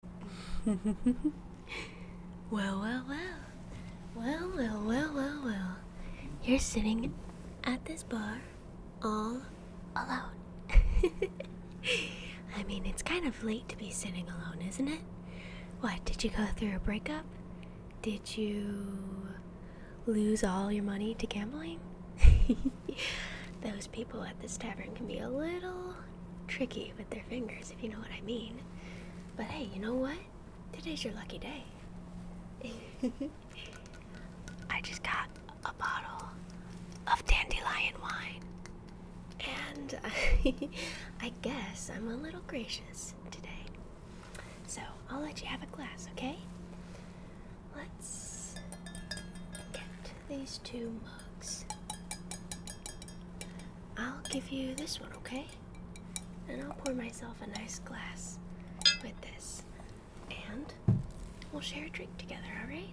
well, well, well. Well, well, well, well, well. You're sitting at this bar all alone. I mean, it's kind of late to be sitting alone, isn't it? What, did you go through a breakup? Did you lose all your money to gambling? Those people at this tavern can be a little tricky with their fingers, if you know what I mean. But hey, you know what? Today's your lucky day. I just got a bottle of dandelion wine. And I, guess I'm a little gracious today. So I'll let you have a glass, okay? Let's get these two mugs. I'll give you this one, okay? And I'll pour myself a nice glass with this. And we'll share a drink together, alright?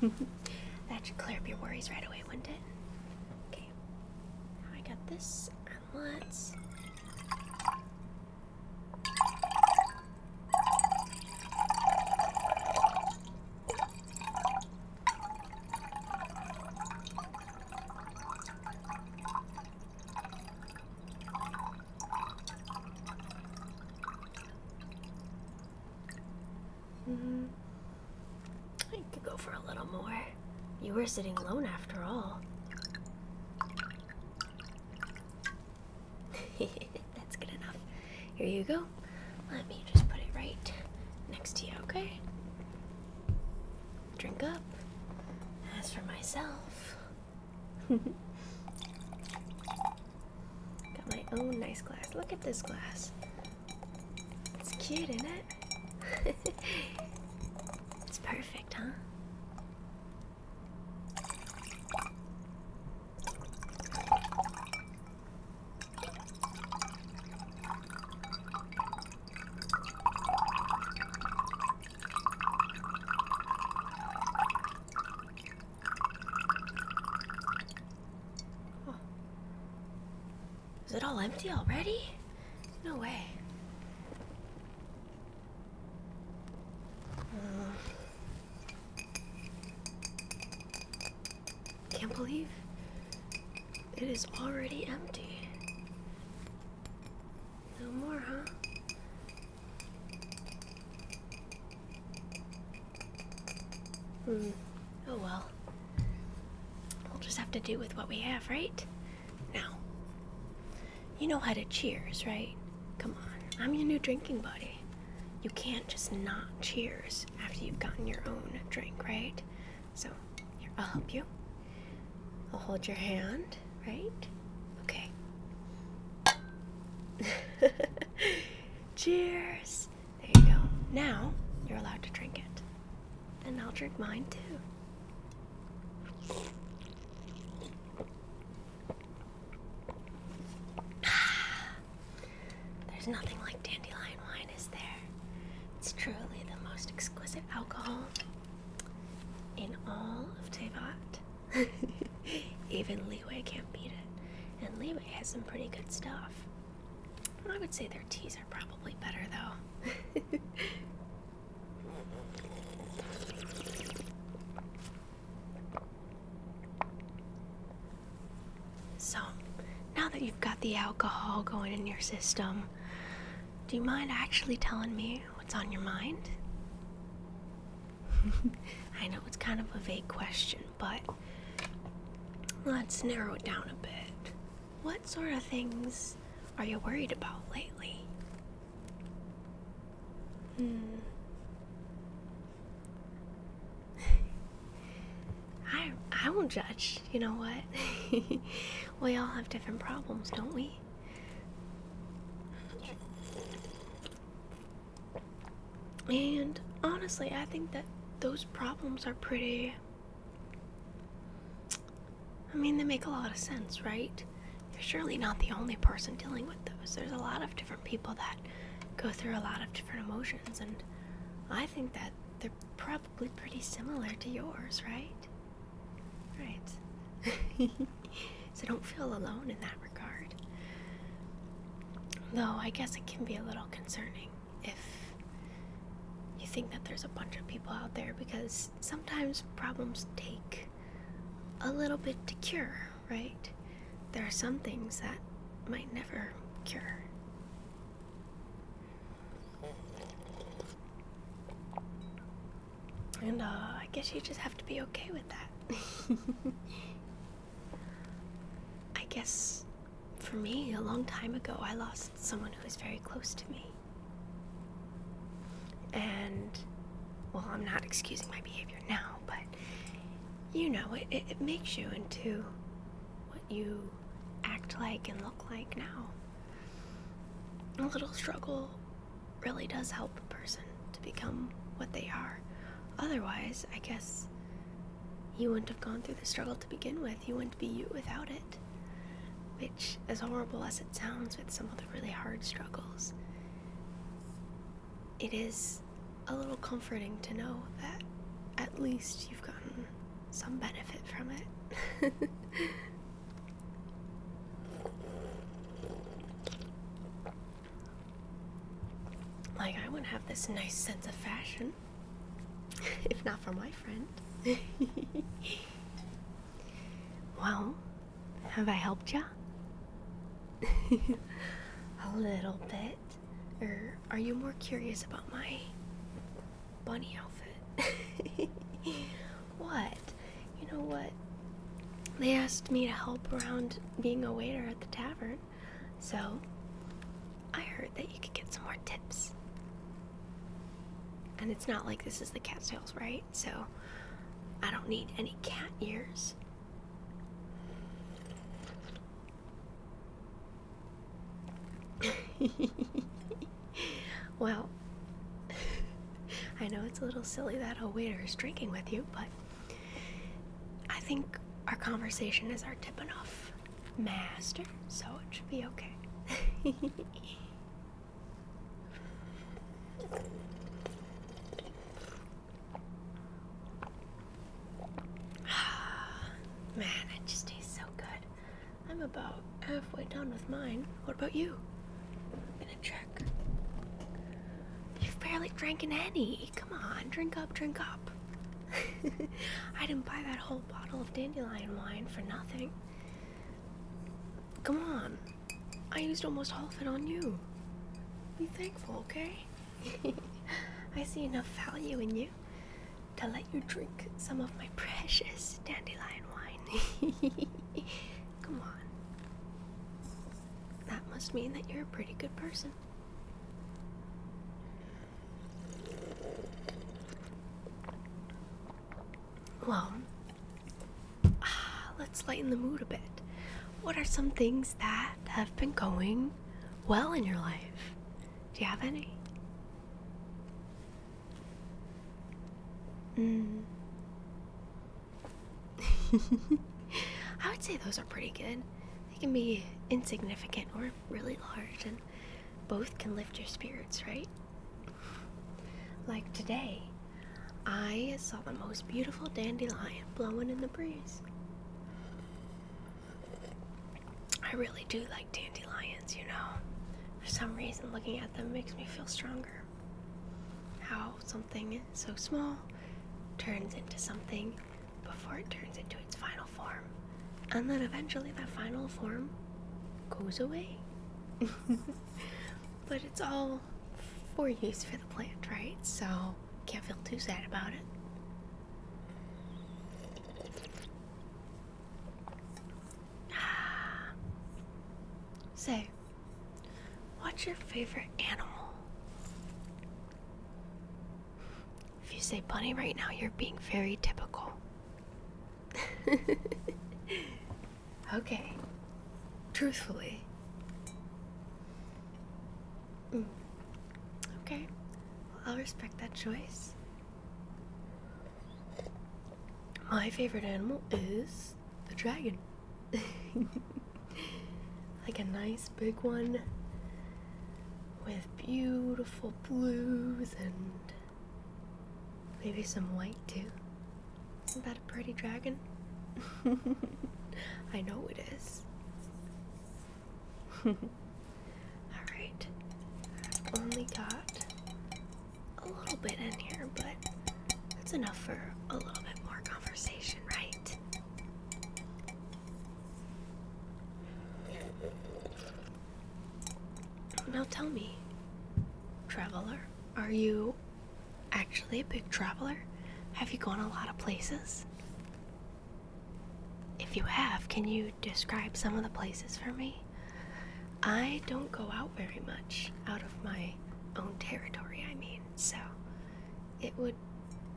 that should clear up your worries right away, wouldn't it? Okay. I got this, and let's. Mm, I could go for a little more. You were sitting alone after all. That's good enough. Here you go. Let me just put it right next to you, okay? Drink up. As for myself, got my own nice glass. Look at this glass. It's cute, isn't it? it's perfect, huh? Oh. Is it all empty already? No way. Uh, can't believe it is already empty. No more, huh? Hmm. Oh well. We'll just have to do with what we have, right? Now, you know how to cheers, right? Come on. I'm your new drinking buddy. You can't just not cheers after you've gotten your own drink, right? So, here, I'll help you. I'll hold your hand, right? Okay. cheers! There you go. Now, you're allowed to drink it. And I'll drink mine too. There's nothing like dandelion wine, is there? It's truly the most exquisite alcohol in all of Tevat. Even Leeway can't beat it. And Leeway has some pretty good stuff. I would say their teas are probably better though. So, now that you've got the alcohol going in your system, do you mind actually telling me what's on your mind? I know it's kind of a vague question, but let's narrow it down a bit. What sort of things are you worried about lately? Hmm. I I won't judge. You know what? we all have different problems, don't we? And honestly, I think that those problems are pretty. I mean, they make a lot of sense, right? you're surely not the only person dealing with those. There's a lot of different people that go through a lot of different emotions, and I think that they're probably pretty similar to yours, right? Right. so don't feel alone in that regard. Though I guess it can be a little concerning if you think that there's a bunch of people out there because sometimes problems take a little bit to cure, right? There are some things that might never cure. And uh, I guess you just have to be okay with that. I guess for me, a long time ago, I lost someone who was very close to me. And, well, I'm not excusing my behavior now, but you know, it, it, makes you into what you act like and look like now. A little struggle really does help a person to become what they are. Otherwise, I guess you wouldn't have gone through the struggle to begin with. You wouldn't be you without it which, as horrible as it sounds with some of the really hard struggles, it is a little comforting to know that at least you've gotten some benefit from it. like, I wouldn't have this nice sense of fashion if not for my friend. Well, have I helped ya? A little bit. Or er, are you more curious about my bunny outfit? what? You know what? They asked me to help around being a waiter at the tavern, so I heard that you could get some more tips. And it's not like this is the cat's cattails, right? So I don't need any cat ears. well, I know it's a little silly that a waiter is drinking with you, but I think our conversation is our tipping off, master, so it should be okay. Man, it just tastes so good. I'm about halfway done with mine. What about you? I'm gonna check. You've barely drinking any. Come on, drink up, drink up. I didn't buy that whole bottle of dandelion wine for nothing. Come on. I used almost all of it on you. Be thankful, okay? I see enough value in you to let you drink some of my precious dandelion wine. Come on. That must mean that you're a pretty good person. Well, let's lighten the mood a bit. What are some things that have been going well in your life? Do you have any? Mm. I would say those are pretty good. They can be insignificant or really large and both can lift your spirits, right? Like today, I saw the most beautiful dandelion blowing in the breeze. I really do like dandelions, you know. For some reason, looking at them makes me feel stronger. How something so small turns into something before it turns into its final form. And then eventually that final form goes away. but it's all for use for the plant, right? So can't feel too sad about it. Say, what's your favorite animal? If you say bunny right now, you're being very typical. okay. Truthfully. Mm. Okay. I'll respect that choice. My favorite animal is the dragon. like a nice big one with beautiful blues and maybe some white too. Isn't that a pretty dragon? I know it is. Alright, only got a little bit in here, but that's enough for a little bit more conversation, right? Now tell me, traveler, are you actually a big traveler? Have you gone a lot of places? If you have, can you describe some of the places for me? I don't go out very much out of my own territory, I mean, so it would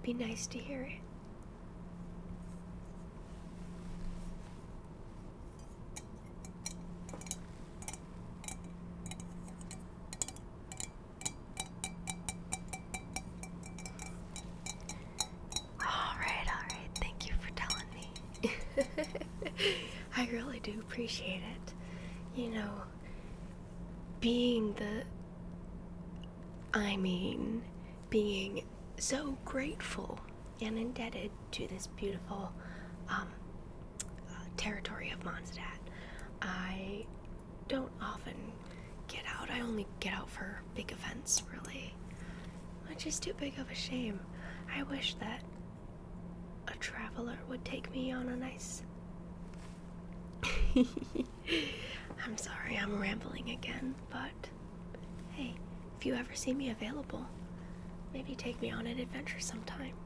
be nice to hear it. All right, all right. Thank you for telling me. I really do appreciate it. You know, being the I mean, being so grateful and indebted to this beautiful um, uh, territory of Mondstadt. I don't often get out. I only get out for big events, really, which is too big of a shame. I wish that a traveler would take me on a nice I'm sorry I'm rambling again, but hey, if you ever see me available, maybe take me on an adventure sometime.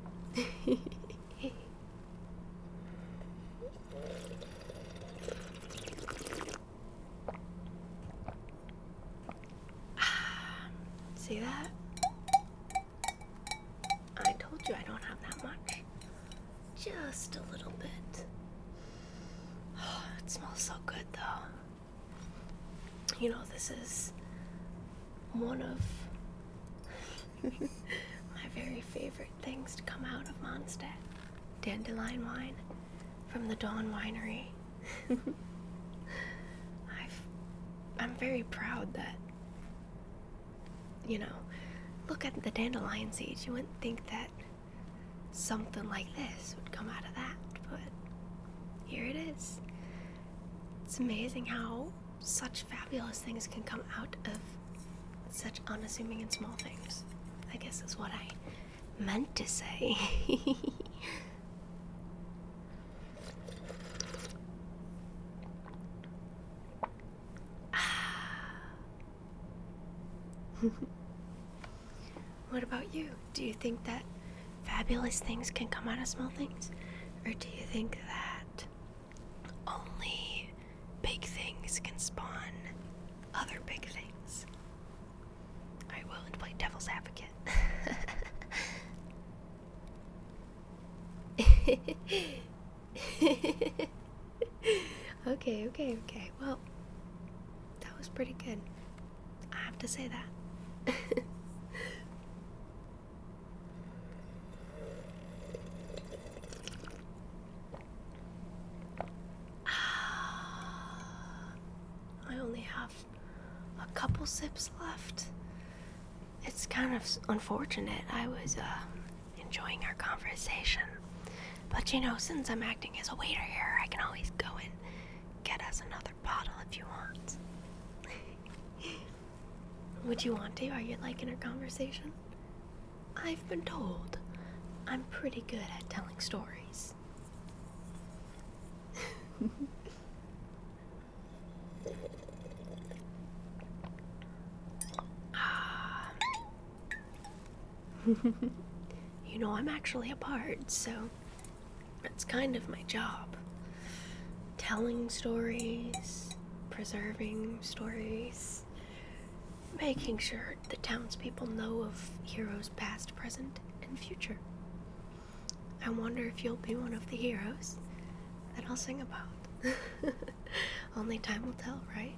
see that? I told you I don't have that much. Just a little bit. it smells so good though. You know, this is one of my very favorite things to come out of Mondstadt dandelion wine from the Dawn Winery. I'm very proud that you know, look at the dandelion seeds. You wouldn't think that something like this would come out of that, but here it is. It's amazing how such fabulous things can come out of such unassuming and small things. I guess is what I meant to say. what about you? Do you think that fabulous things can come out of small things? Or do you think that only big things can spawn other big things? I will and play devil's advocate. okay, okay, okay. Well, that was pretty good. I have to say that. I only have a couple sips left. It's kind of unfortunate. I was uh, enjoying our conversation. But you know, since I'm acting as a waiter here, I can always go and get us another bottle if you want. Would you want to? Are you liking our conversation? I've been told I'm pretty good at telling stories. Um, you know, I'm actually a bard, so that's kind of my job. Telling stories, preserving stories, making sure the townspeople know of heroes past, present, and future. I wonder if you'll be one of the heroes that I'll sing about. Only time will tell, right?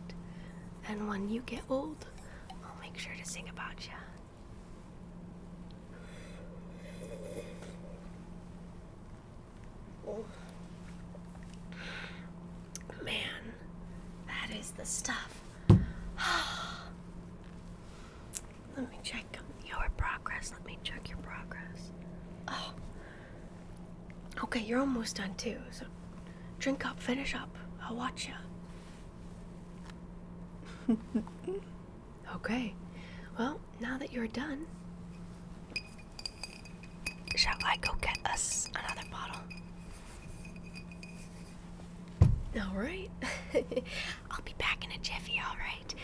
And when you get old, I'll make sure to sing about you. Man, that is the stuff. Let me check your progress. Let me check your progress. Oh, Okay, you're almost done too, so drink up, finish up. I'll watch you. okay, well, now that you're done, shall I go get us another bottle? Alright, I'll be back a jiffy, alright?